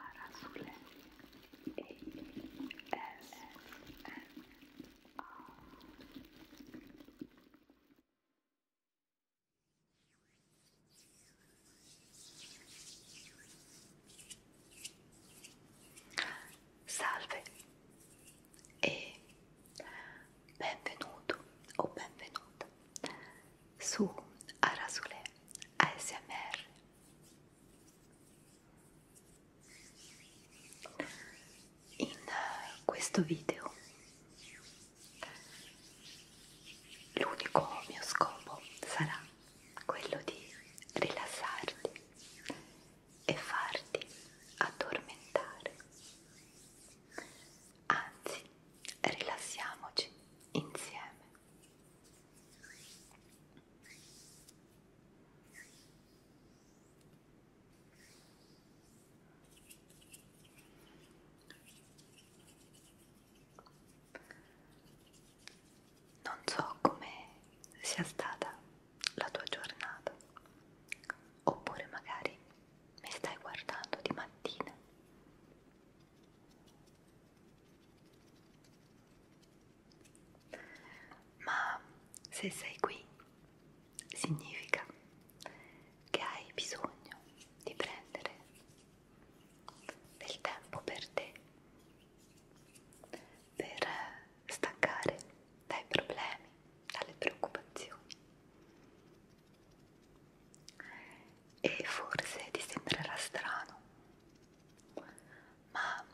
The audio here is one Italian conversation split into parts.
Arasule E S M A Salve e benvenuto o benvenuta su Arasule ASMR. In questo video l'unico mio scopo sarà quello di rilassarti e farti addormentare. Anzi, rilassiamoci insieme. Non so come sia stata la tua giornata, oppure magari mi stai guardando di mattina ma se sei qui significa che hai bisogno di prendere del tempo per te, per staccare dai problemi, dalle preoccupazioni e forse ti sembrerà strano, ma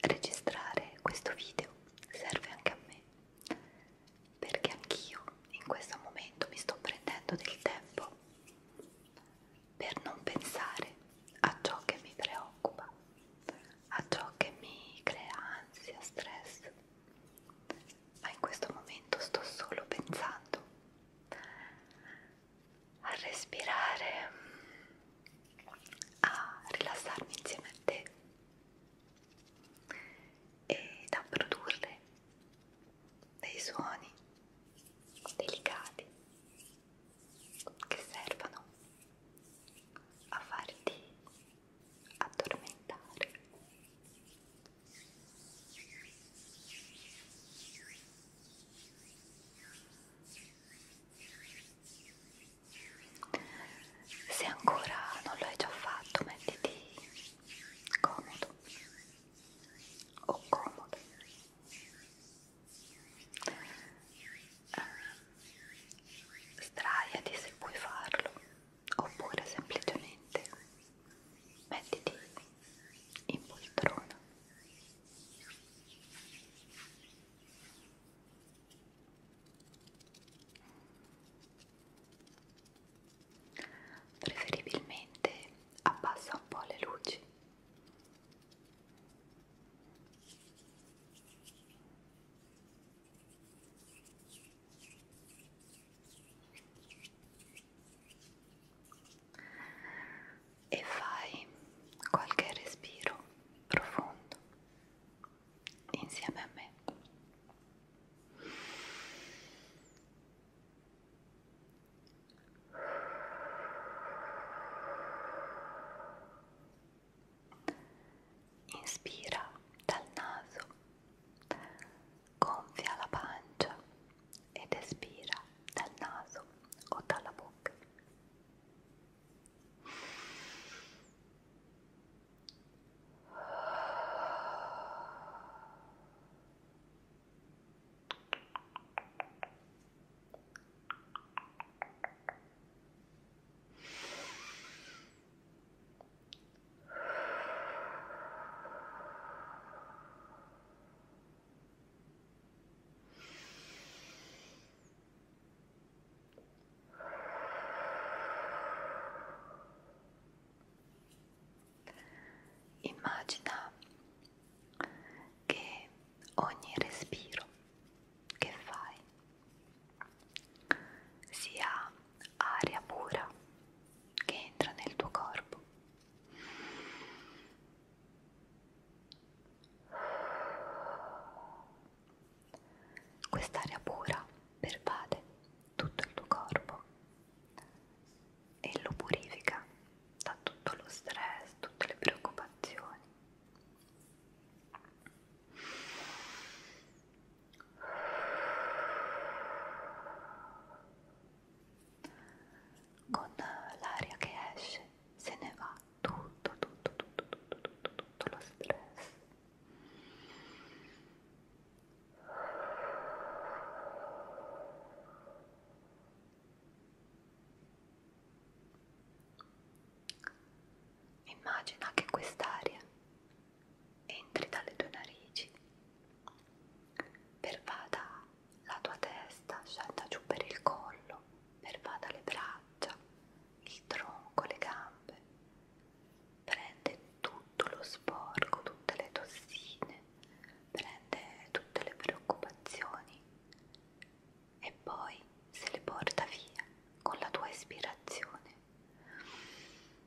registrare questo video serve anche a me perché anch'io in questo momento mi sto prendendo del tempo per non pensare a ciò che mi preoccupa, a ciò che mi crea ansia, stress, ma in questo momento sto solo pensando a respirare, a rilassarmi insieme a te ed a produrre dei suoni delicati che servono a farti addormentare se ancora non lo hai già fatto, mettiti comodo o comodo. Ehm, sdraiati se puoi farlo, oppure semplicemente mettiti in poltrona preferibilmente abbassa un po' le luci e fai qualche respiro profondo insieme a me. Inspira dal naso gonfia la pancia ed espira dal naso o dalla bocca. Immagina che ogni respiro che fai sia aria pura che entra nel tuo corpo Quest'aria pura pervade tutto il tuo corpo e lo purifica da tutto lo stress, tutte le preoccupazioni con l'aria che esce se ne va tutto, tutto, tutto, tutto, tutto, tutto lo stress. Immagina che quest'aria entri dalle tue narici pervada la tua testa, scenda giù per il collo, pervada le braccia, il tronco, le gambe, prende tutto lo sporco, tutte le tossine, prende tutte le preoccupazioni e poi se le porta via con la tua ispirazione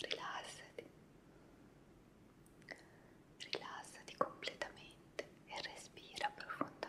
Rilassati, rilassati completamente e respira profondamente.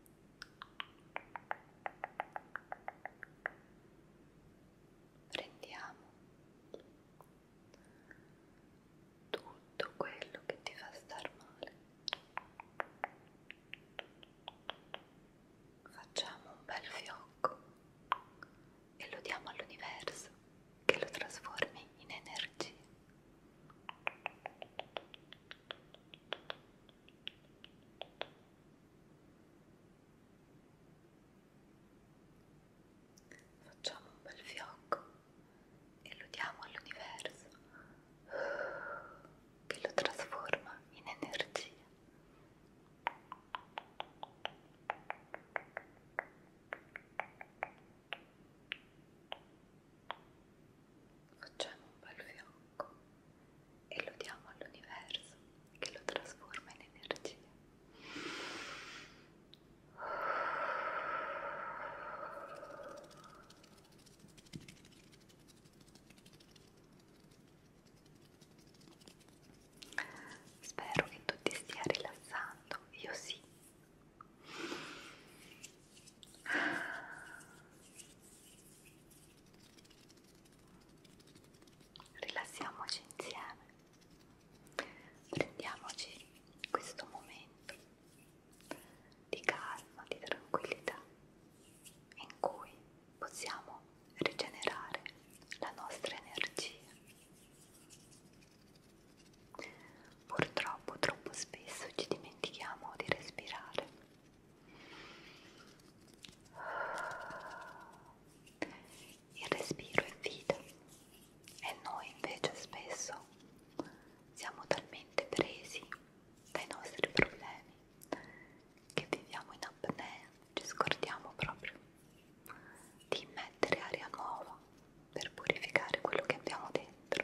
prendiamo tutto quello che ti fa star male facciamo un bel fiocco e lo diamo all'universo che lo trasformi in energia Facciamo un bel fiocco e lo diamo all'universo che lo trasforma in energia. Facciamo un bel fiocco e lo diamo all'universo che lo trasforma in energia. Spero che tu ti stia rilassando, io sì rilassiamoci insieme prendiamoci questo momento di calma di tranquillità in cui possiamo rigenerare la nostra energia purtroppo troppo spesso ci dimentichiamo di respirare il respiro è vita e noi invece spesso siamo talmente presi dai nostri problemi che viviamo in apnea, ci scordiamo proprio di mettere aria nuova per purificare quello che abbiamo dentro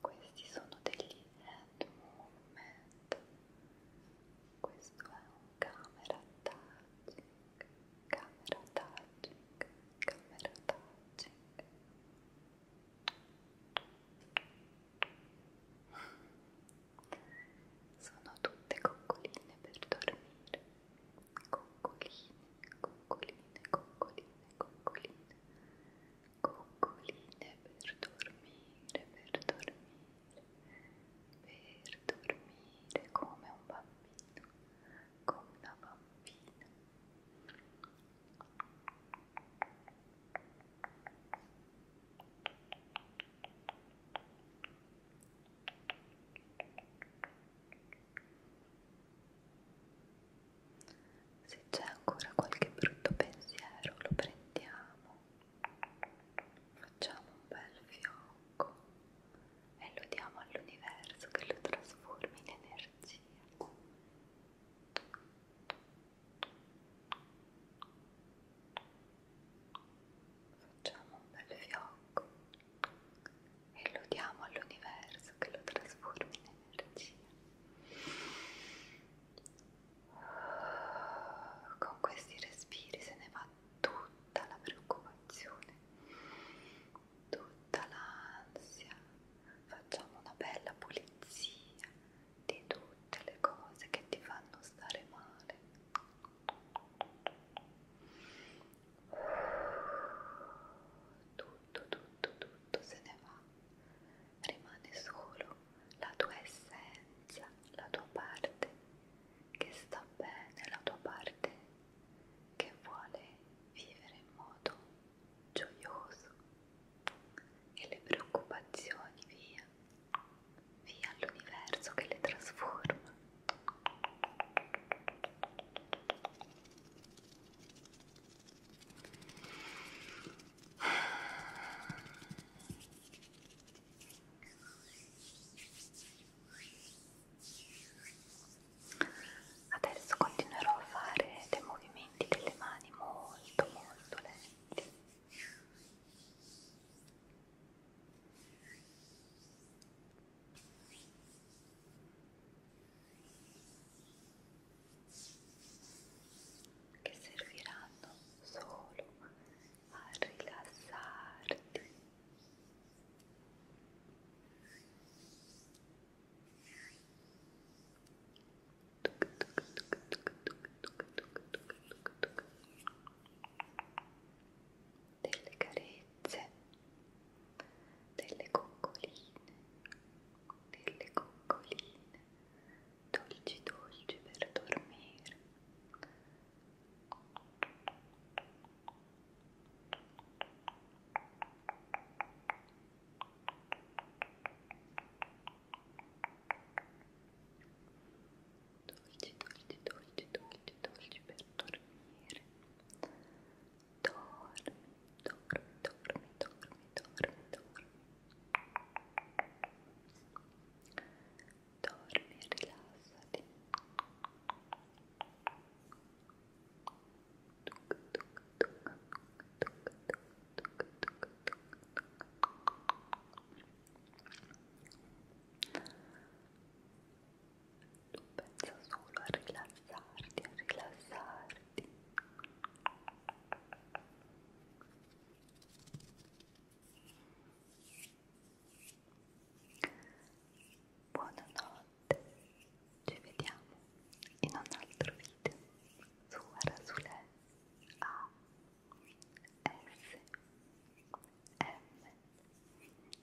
Questi sono degli hand movement. Questo è un camera touching, camera touching, camera touching. Sono tutte coccoline per dormire coccoline, coccoline, coccoline, coccoline, coccoline per dormire, per dormire, per dormire come un bambino, come una bambina. Coccoline, se c'è ancora qualche brutto pensiero lo prendiamo, facciamo un bel fiocco e lo diamo all'universo che lo trasformi in energia. Facciamo un bel fiocco e lo diamo all'universo che lo trasformi in energia. Con questi respiri se ne va tutta la preoccupazione, tutta l'ansia. Facciamo una bella pulizia di tutte le cose che ti fanno stare male tutto, tutto, tutto se ne va, rimane solo la tua essenza, la tua parte che sta bene, la tua parte che vuole vivere in modo gioioso e le preoccupazioni via, via all'universo che le trasforma. Adesso continuerò a fare dei movimenti delle mani molto molto lenti che serviranno solo a rilassarti delle carezze, delle coccoline, delle coccoline, dolci dolci per dormire. Dolci, dolci, dolci, dolci, dolci per dormire. dorme, dorme, dorme, dorme, dorme, dorme. Dorme, rilassati. Dorme, rilassati. pensa solo a rilassarti, a rilassarti buonanotte ci vediamo in un altro video su Arasule A S M